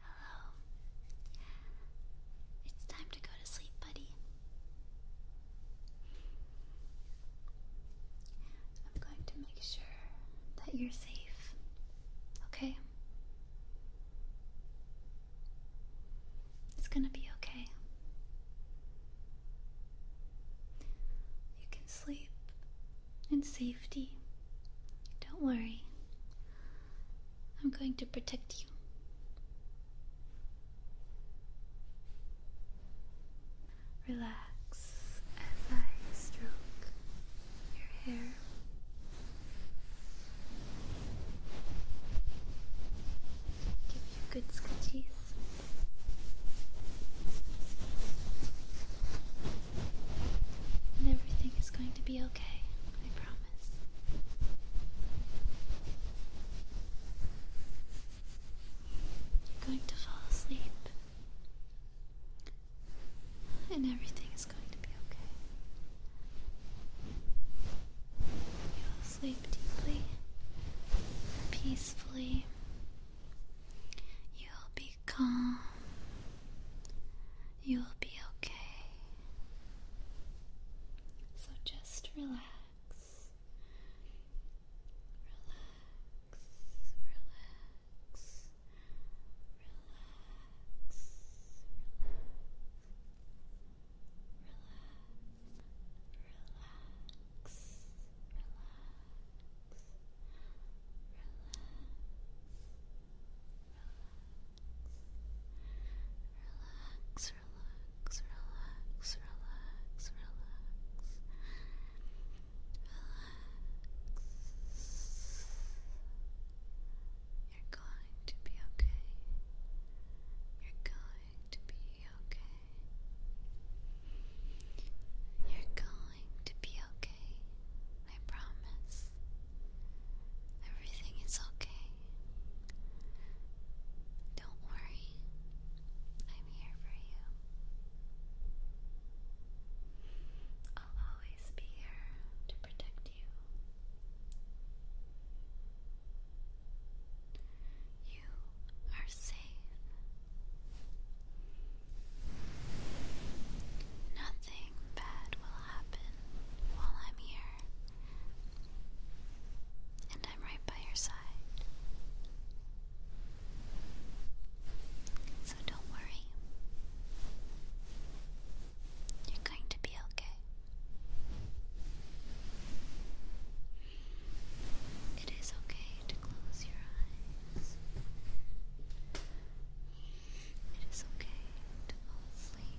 Hello. It's time to go to sleep, buddy. I'm going to make sure that you're safe. Okay? It's gonna be okay. You can sleep and safety. Don't worry, I'm going to protect you. Relax as I stroke your hair. Give you good scratches. And everything is going to be okay, I promise. You're going to fall asleep. And everything is going to be okay. You'll sleep deeply, peacefully. You'll be calm You'll be okay. So just relax. Relax, relax, relax, relax, relax, relax, relax relax, relax, relax, relax, relax. Relax. You're going to be okay. You're going to be okay. You're going to be okay. I promise. Everything is okay. Don't worry. I'm here for you. I'll always be here to protect you. You are safe. Nothing bad will happen while I'm here, and I'm right by your side. So don't worry. You're going to be okay. It is okay to close your eyes. It is okay to fall asleep.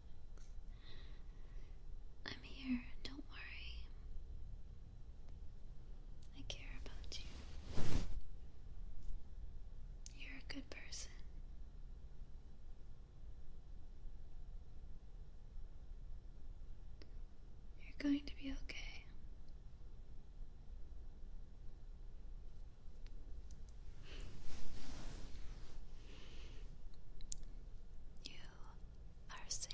I'm here, don't worry. I care about you. You're a good person. You're going to be okay. You are safe.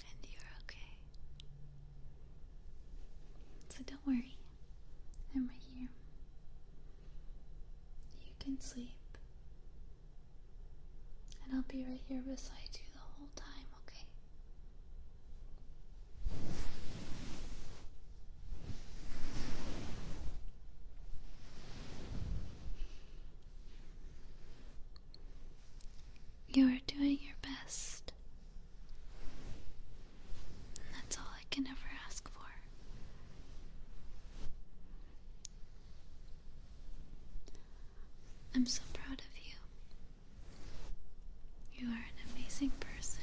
And you're okay. So don't worry, I'm right here. You can sleep and I'll be right here beside you the whole time, okay? You are doing your best. that's all I can ever ask for. I'm so proud of you. You are an amazing person.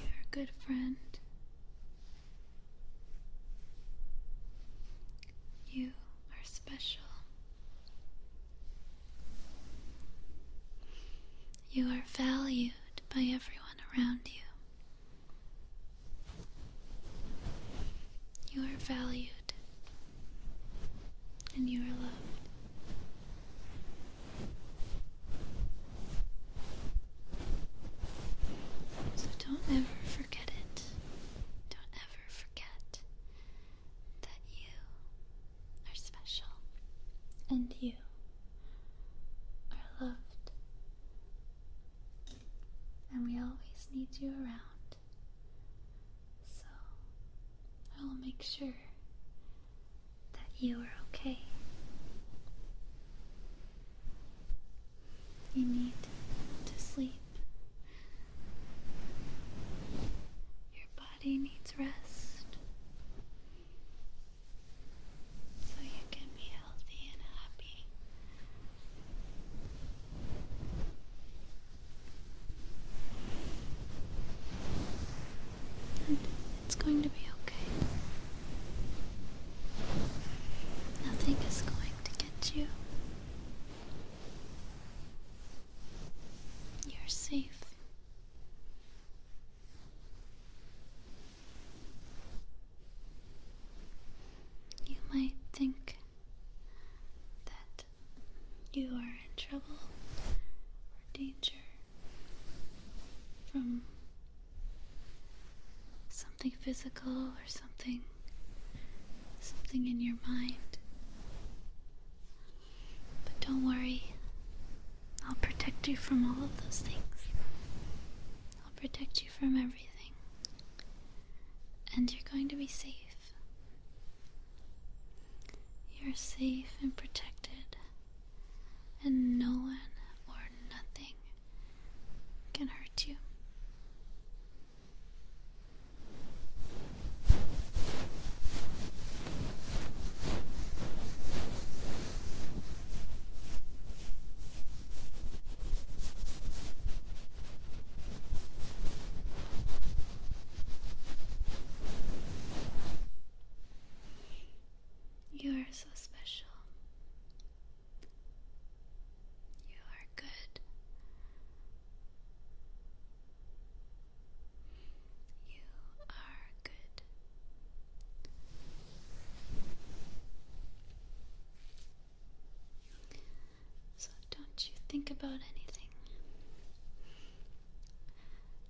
You're a good friend. You are special. You are valued by everyone around you. You are valued and you are loved. So don't ever forget it. Don't ever forget that you are special and you are loved, and we always need you around. So I will make sure that you are okay. You need to sleep. Your body needs rest so you can be healthy and happy. it's going to be okay. Nothing is going to get you. You're safe. You might think that you are in trouble or danger from something physical or something something in your mind but don't worry, I'll protect you from all of those things. I'll protect you from everything. And you're going to be safe. You're safe and protected, and no one or nothing can hurt you. You are so special. You are good. You are good. So don't you think about anything.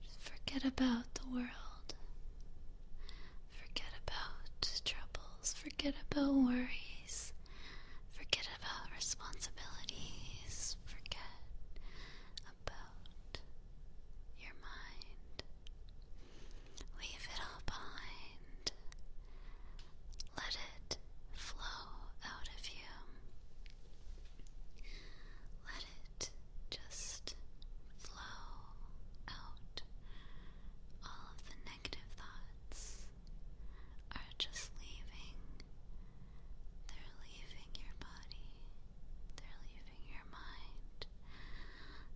Just forget about the world. Forget about troubles. Forget about worries. Forget about responsibilities. Forget about your mind. Leave it all behind. Let it flow out of you. Let it just flow out. All of the negative thoughts are just leaving they're leaving your body. They're leaving your mind.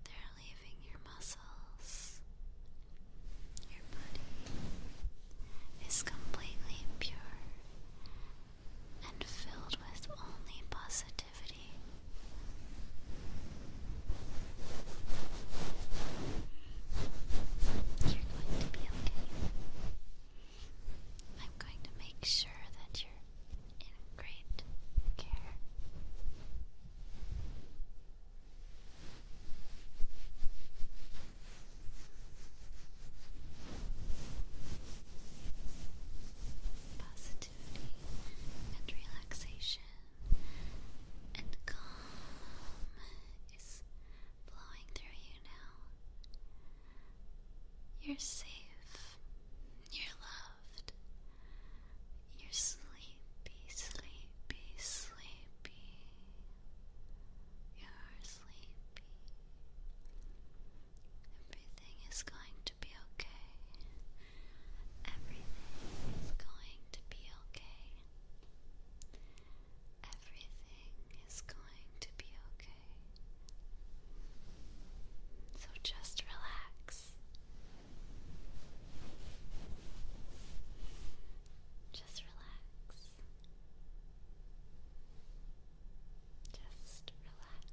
They're leaving your muscles. Your body is completely pure and filled with only positivity. You're going to be okay. I'm going to make sure that you're in great care. Positivity and relaxation and calm is blowing through you now. You're safe. You're loved. You're sleepy, sleepy, sleepy. You're sleepy. Everything is going to be okay. Everything is going to be okay. Everything is going to be okay. So Just relax. Just relax. Just relax.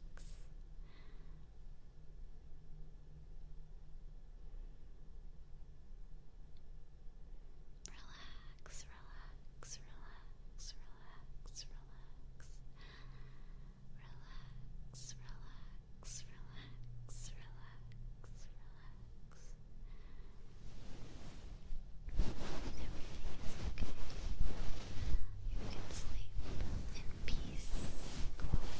Relax, relax, relax, relax, relax. Relax, relax, relax, relax, relax. Everything is okay. You can sleep in peace, quiet.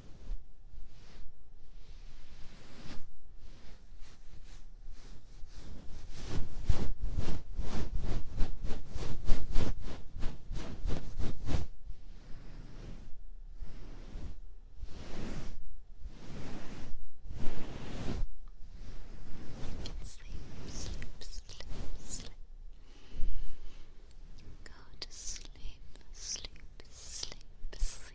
Sleep, sleep, sleep, sleep. Go to sleep, sleep, sleep, sleep.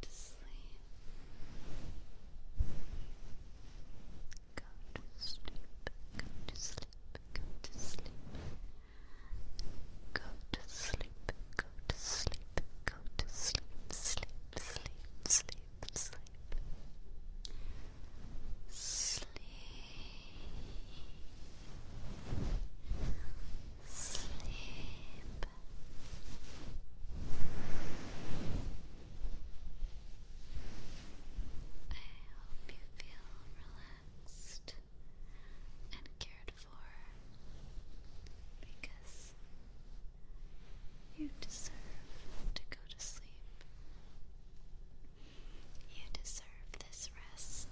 to sleep. Go to sleep, go to sleep, go to sleep. Go to sleep, go to sleep, go to sleep, sleep, sleep, sleep, sleep. Sleep. Sleep. I hope you feel relaxed and cared for because you deserve to go to sleep. You deserve this rest.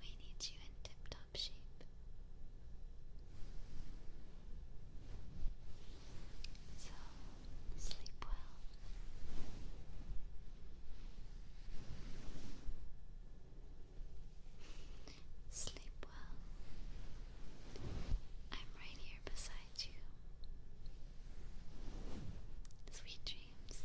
We need you in tip-top shape. So, sleep well. Sleep well. I'm right here beside you. Sweet dreams.